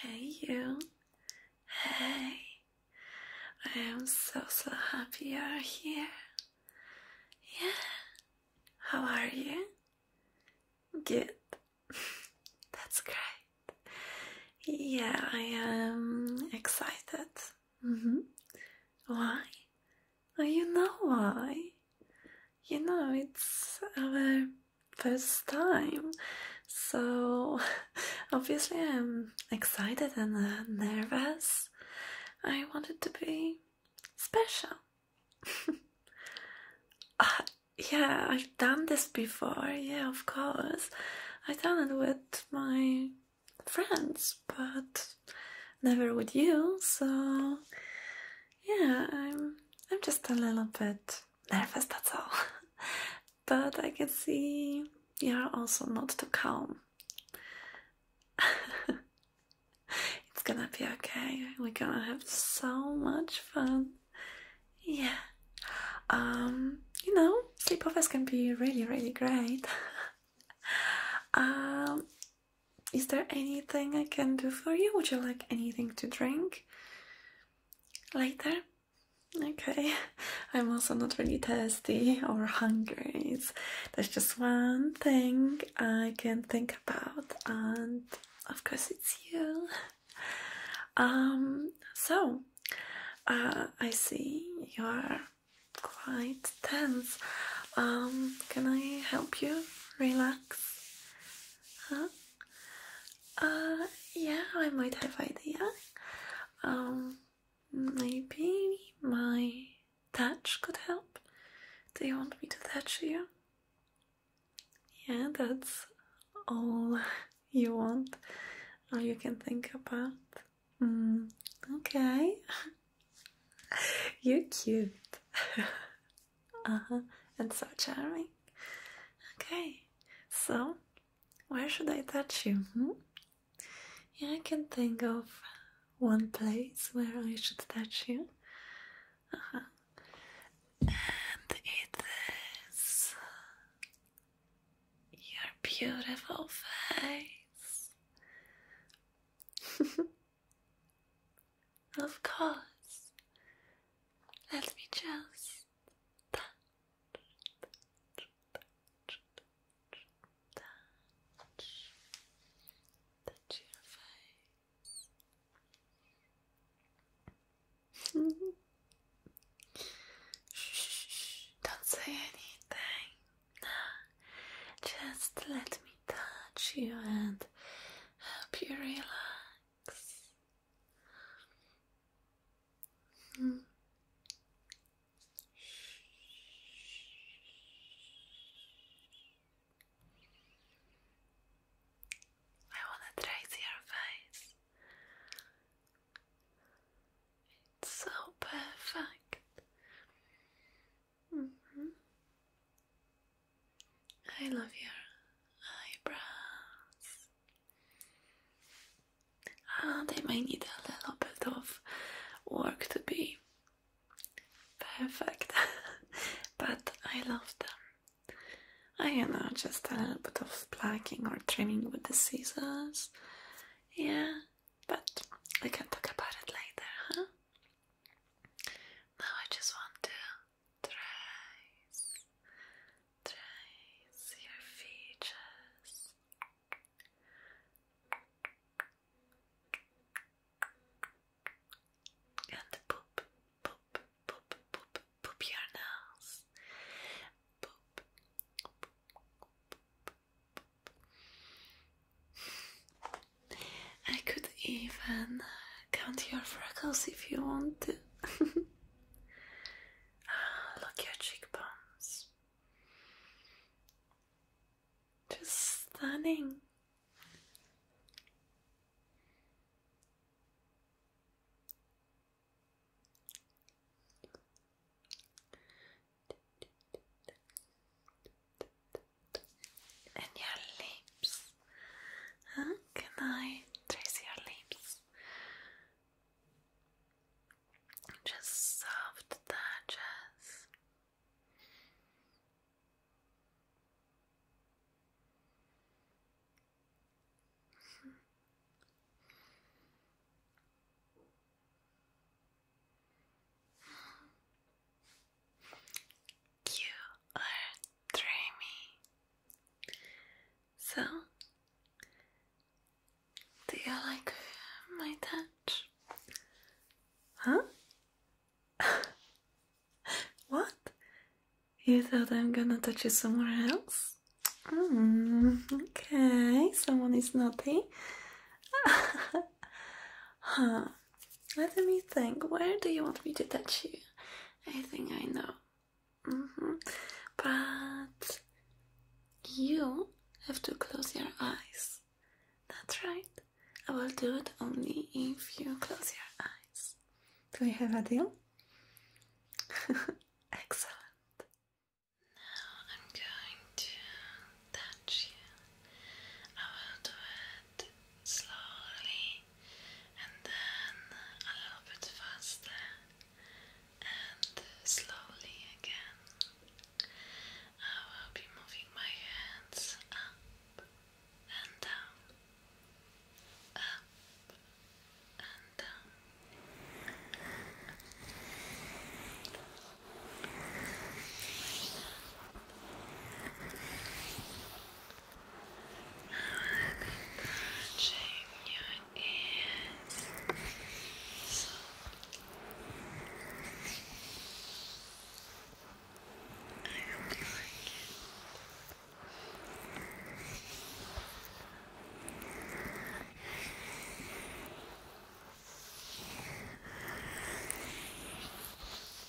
Hey, you. Hey. I am so, so happy you are here. Yeah. How are you? Good. That's great. Yeah, I am excited. Mm-hmm. Why? Oh, you know why you know, it's our first time, so obviously I'm excited and uh, nervous. I wanted to be special. Uh, yeah, I've done this before, yeah, of course. I've done it with my friends, but never with you, so yeah, I'm I'm just a little bit nervous, that's all. but I can see you're also not too calm. it's gonna be okay. We're gonna have so much fun. Yeah. Um, you know, sleepovers can be really, really great. um, is there anything I can do for you? Would you like anything to drink? later. Okay, I'm also not really thirsty or hungry. there's just one thing I can think about, and of course, it's you. Um, so uh, I see you are quite tense. Um, can I help you relax? Huh? Uh, yeah, I might have idea. Um, maybe my touch could help. Do you want me to touch you? Yeah, that's all you want, all you can think about. Mm, okay. You're cute. uh-huh and so charming okay so where should i touch you hmm? i can think of one place where i should touch you uh-huh and it is your beautiful face Of course. Let me just touch, your face. Shh, don't say anything. Just let me touch you and help you relax. Hmm. I want to trace your face. It's so perfect. -hmm. I love your eyebrows. Ah, they might need a little bit of work to be perfect, but I love them. I don't know, just a little bit of plucking or trimming with the scissors. Yeah, but we can talk about it later, huh? Now I just want to trace, trace your features. And poop, poop, poop, poop, poop your nose. poop. I could even count your freckles if you want to. ah, look your cheekbones. Just stunning. and your lips. Can I trace your lips? Just soft touches. You are dreamy. So, do you like uh, my touch? Huh? what? You thought I'm gonna touch you somewhere else? Mm, okay, someone is naughty. huh let me think. Where do you want me to touch you? I think I know. Mm-hmm. But you have to close your eyes. That's right. I will do it only if you close your eyes. Do we have a deal? Excellent. Now I'm going to touch you. I will do it slowly and then a little bit faster and slowly again. I will be moving my hands up and down, up and down. Touching your ears. I hope you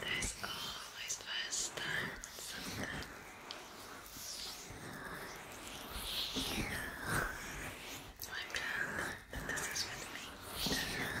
there's always first time something. I'm glad that this is with me. Thank you.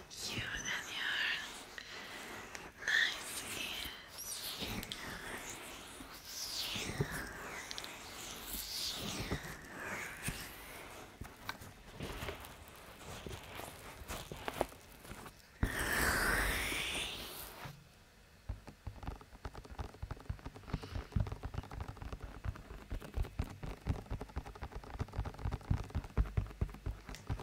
you and your nice ears.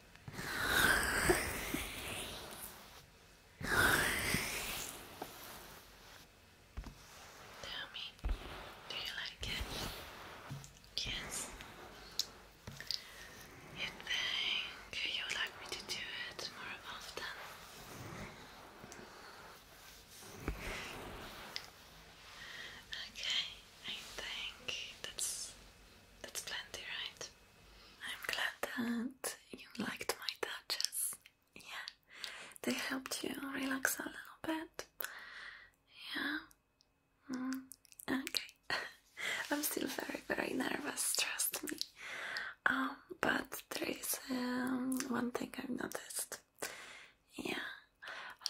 Tell me, do you like it? Yes. You think you like me to do it more often? Okay, I think that's that's plenty, right? I'm glad that you liked my touches. Yeah, they helped you relax a little bit. Yeah. Mm. okay. I'm still very, very nervous. Trust me. Um, but there is um, one thing I've noticed. Yeah,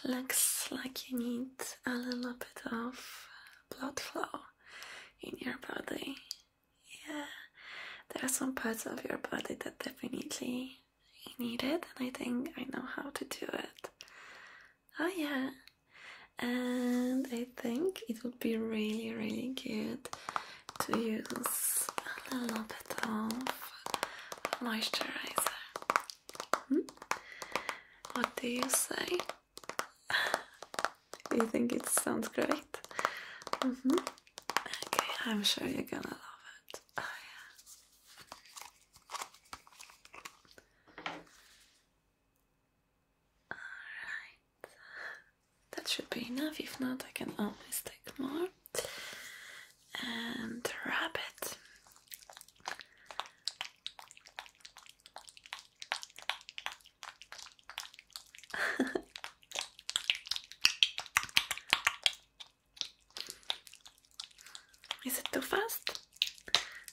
looks like you need a little bit of blood flow in your body. Yeah, there are some parts of your body that definitely need it, and I think I know how to do it. Oh, yeah, and I think it would be really, really good to use a little bit of moisturizer. Hmm? What do you say? Do you think it sounds great? Mm-hmm. Okay, I'm sure you're gonna love it. Oh, Alright. That should be enough. If not, I can always take more. And wrap it. Is it too fast?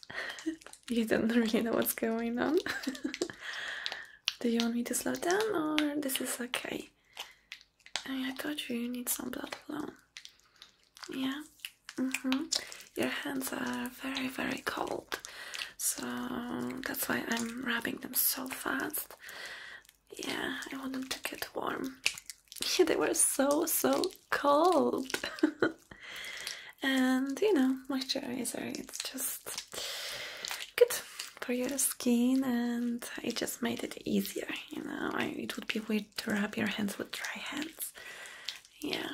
you don't really know what's going on. Do you want me to slow down or this is okay? I, thought you need some blood flow. Yeah, Mm -hmm. Your hands are very, very cold, so that's why I'm rubbing them so fast. Yeah, I want them to get warm. they were so, so cold. and you know, moisturizer, it's just good for your skin and it just made it easier you know it would be weird to rub your hands with dry hands yeah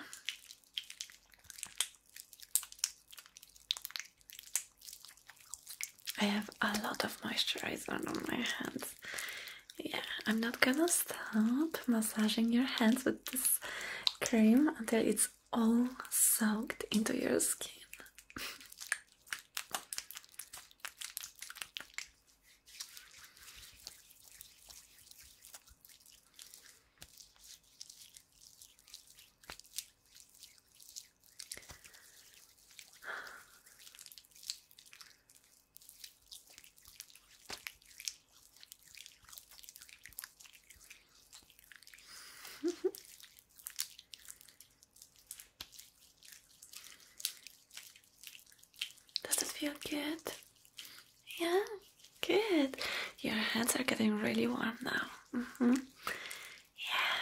I have a lot of moisturizer on my hands. Yeah, I'm not gonna stop massaging your hands with this cream until it's all soaked into your skin. Does it feel good? Yeah, good. Your hands are getting really warm now. Mm -hmm. Yeah,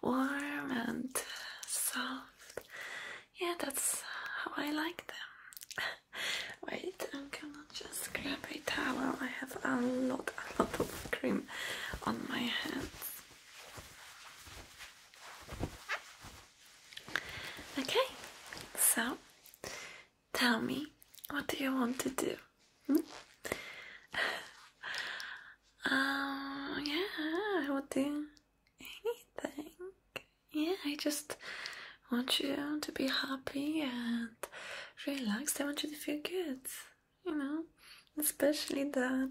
warm and soft. Yeah, that's how I like them. Wait, I'm gonna just grab a towel. I have a lot, a lot of cream on my hands. Okay, so Tell me, what do you want to do? Hmm? Um, yeah, I would do anything. Yeah, I just want you to be happy and relaxed. I want you to feel good, you know, especially that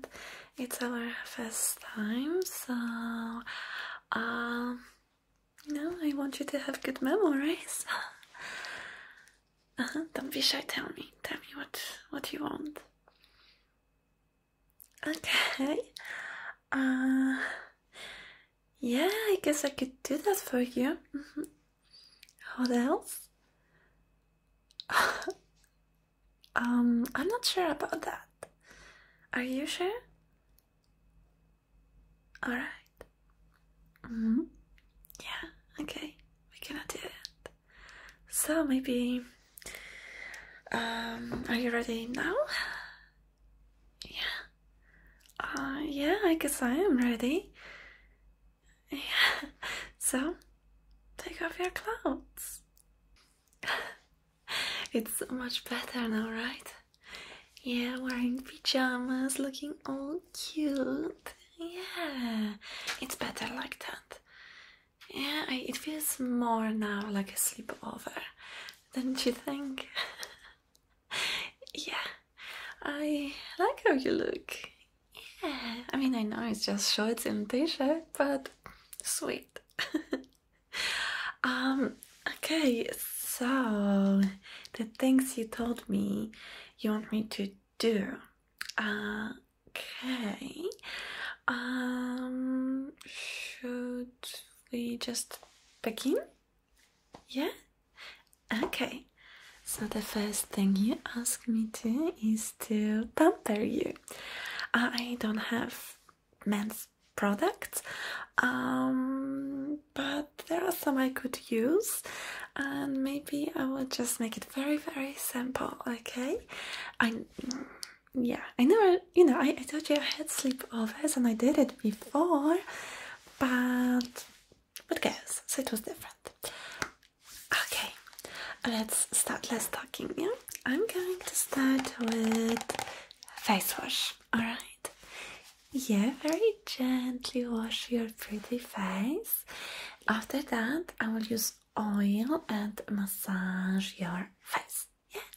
it's our first time, so um, you I want you to have good memories. Uh-huh, don't be shy, tell me. Tell me what what you want. Okay. Uh yeah, I guess I could do that for you. Mm-hmm. What else? um, I'm not sure about that. Are you sure? All right. -hmm. Yeah. Okay. We cannot do it. So maybe. Um. Are you ready now? Yeah. Uh. Yeah. I guess I am ready. Yeah. So, take off your clothes. it's so much better now, right? Yeah, wearing pajamas, looking all cute. Yeah, it's better like that. Yeah, it feels more now like a sleepover, don't you think? yeah, I like how you look. Yeah, I mean, I know it's just shorts and t shirt, but sweet. um, okay, so the things you told me you want me to do. okay. Um, should we just begin? Yeah? Okay. So the first thing you ask me to is to pamper you. I don't have men's products um, but there are some I could use and maybe I will just make it very very simple okay I yeah I never you know I, told you I had sleepovers and I did it before but but guess it was different okay let's start less talking yeah I'm going to start with face wash Alright. Yeah, very gently wash your pretty face. After that, I will use oil and massage your face. Yeah,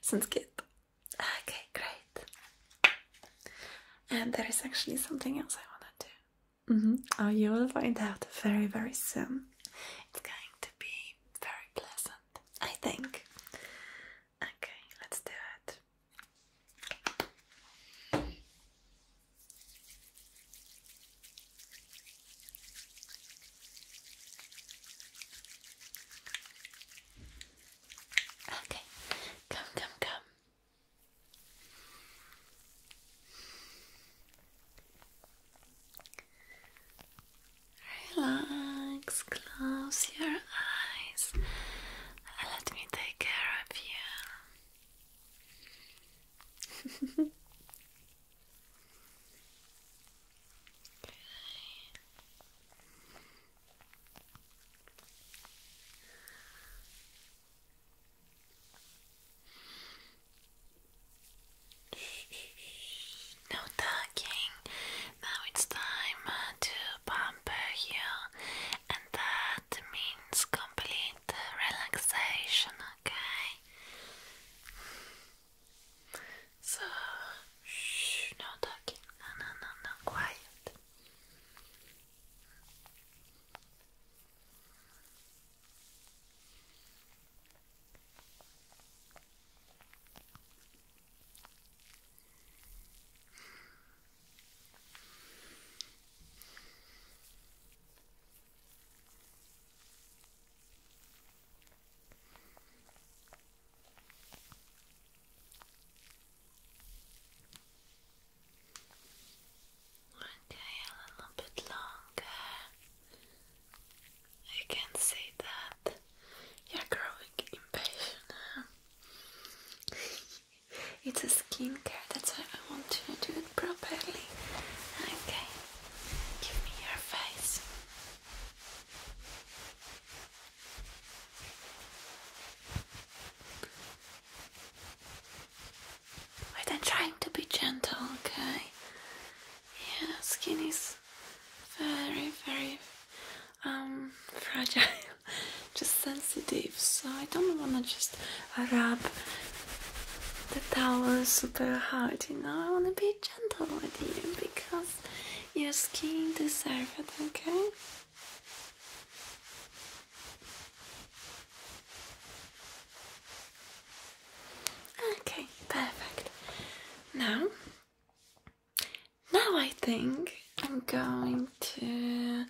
sounds good. Okay, great. And there is actually something else I want to do. Mm -hmm. Oh, you will find out very, very soon. It's going to be very pleasant, I think. Okay, let's do it. Okay, come, come, come. Relax, close your eyes, let me take care of you. okay. No talking. Now it's time uh, to pamper you, and that means complete relaxation, okay? So, shh, no talking. No, no, no, quiet. Okay, a little bit longer. I can not say that you're growing impatient. it's a skincare, that's why I want to do it properly. Okay, give me your face. I'm trying to be gentle, okay? Yeah, skin is very, very um, fragile, just sensitive. So I don't want to just rub the towel super hard. You know, I want to be gentle with you because your skin deserves it. Okay. Okay, perfect. Now now I think I'm going to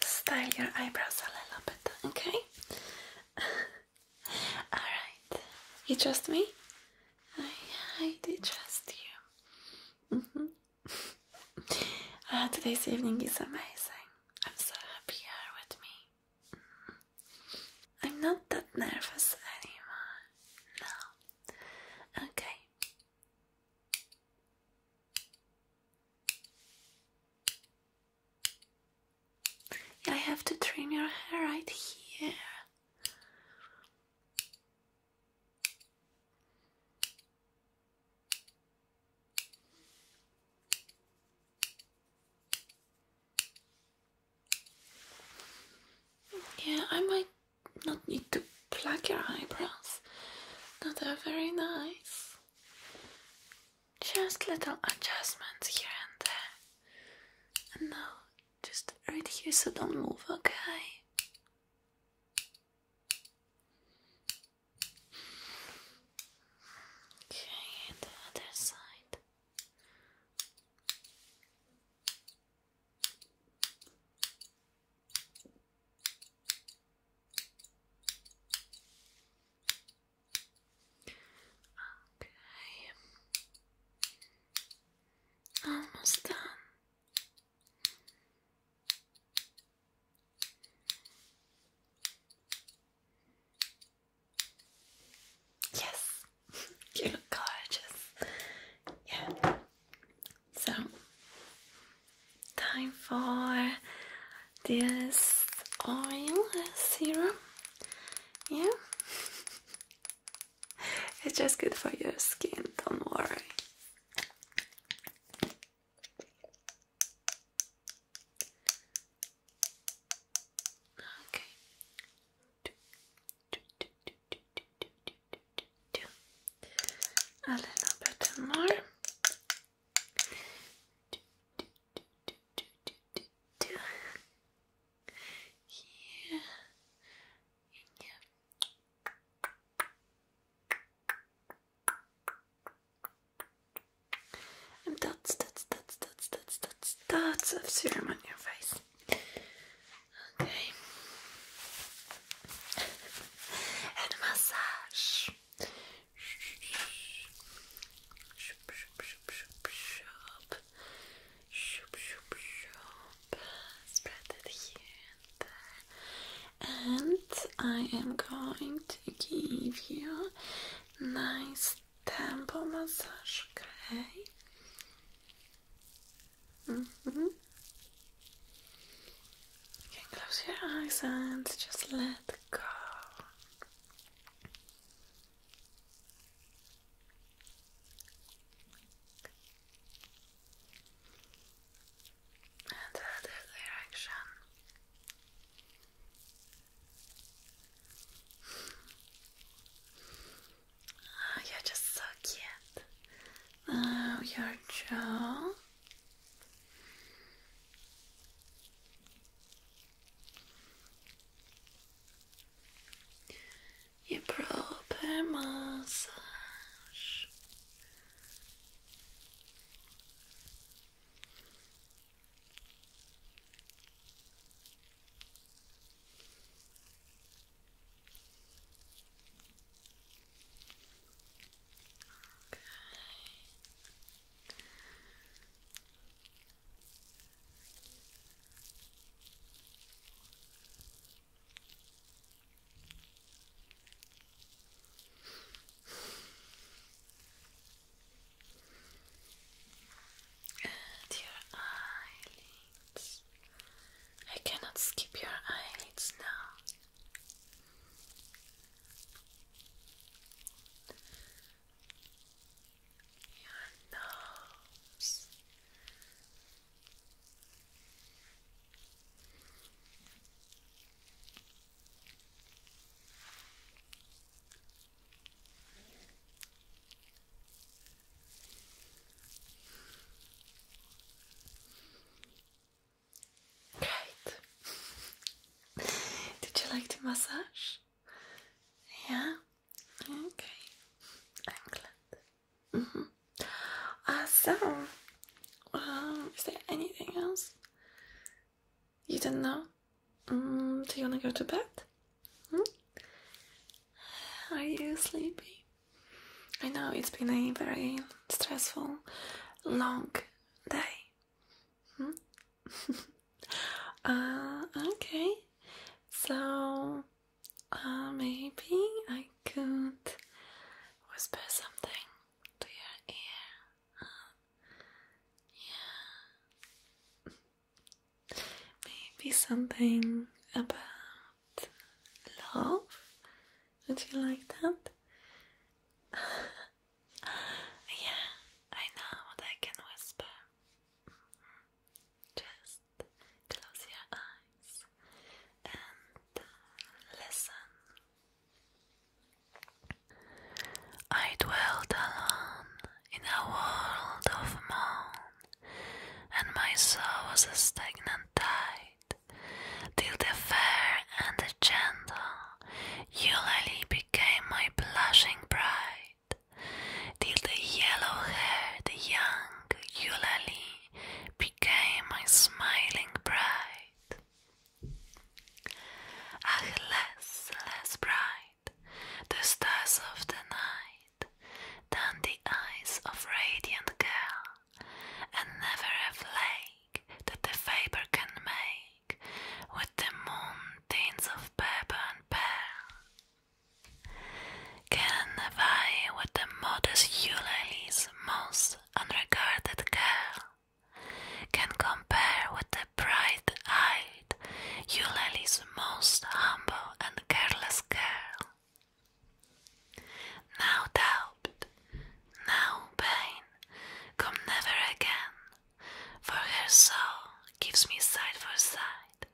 style your eyebrows a little bit, okay? Alright, you trust me? I, I trust you. Mm-hmm. Uh, today's evening is amazing. I'm so happy you're with me. Mm-hmm. I'm not that nervous anymore. No. Okay. I have to trim your hair right here. Yeah, I might not need to plug your eyebrows. No, they're very nice. Just little adjustments here and there. And now, just right here, so don't move, okay? Okay, the other side. Okay. Almost done. Yes. You're gorgeous. Yeah. So, time for this oil serum. Yeah. It's just good for your skin, don't worry. Okay a little bit more. Here and here. And dots, dots, dots, dots, dots, dots, dots of serum on your face. Okay. and massage. Shoop, shoop, shoop, shoop, shoop. Shoop, shoop, shoop. Spread it here and there. And I am going to give you nice temple massage, okay? Mm-hmm. You can close your eyes and just let go. And other direction. Oh, you're just so cute. Oh, your jaw. Your proper massage. And your I cannot skip your eyelids now. Your nose. Did you like the massage? Yeah? Okay. I'm mm-hmm. glad. Uh, um, is there anything else you don't know? Mm, do you want to go to bed? Are you sleepy? I know it's been a very stressful, long day. Hmm? uh, okay, so uh, maybe I could whisper something to your ear. Uh, yeah. Maybe something about love? Would you like that? yeah, I know what I can whisper. Just close your eyes and uh, listen. I dwelt alone in a world of moan, and my soul was a stagnant tide, till the fair and the gentle Eulalie became my blushing bride, till the yellow hair, the young Eulalie became my smiling bride. Ah, less, less bright the stars of the night, than the eyes of radiant girl, and never a flake that the vapor can make, with the moon tints of pepper and pearl. Can vie with the modest Eulalie's most unregarded care, can compare with the bright eye Eulalie's most humble and careless girl. Now doubt, now pain, come never again, for her soul gives me side for side,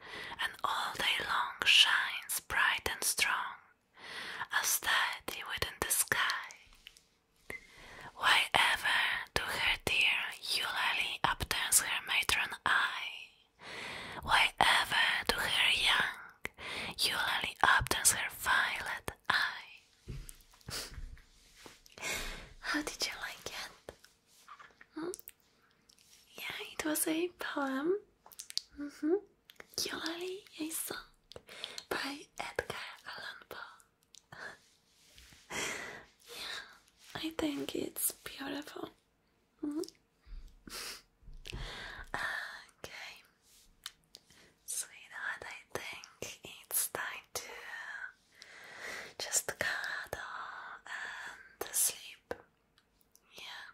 and all day long shines bright and strong, as steady within the sky. Why ever to her dear Eulalie upturns her matron eye? Why ever do her young, Eulalie upturns her violet eye. How did you like it? Hmm? Yeah, it was a poem. Mm -hmm. Eulalie, a song by Edgar Allan Poe. yeah, I think it's beautiful. Mm-hmm. okay, sweetheart, I think it's time to uh, just cuddle and sleep. Yeah,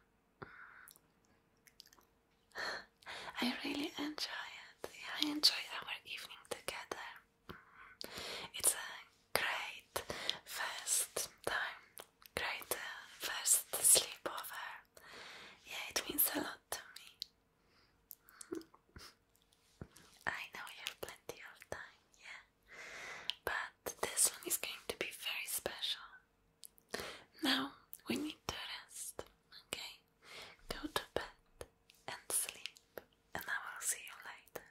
mm-hmm. I really enjoy it. I enjoy our evening together. Mm-hmm. It's a great first time, great uh, first sleepover. Yeah, it means a lot to me. I know you have plenty of time, yeah, but this one is going to be very special. Now we need to rest, okay? Go to bed and sleep, and I will see you later.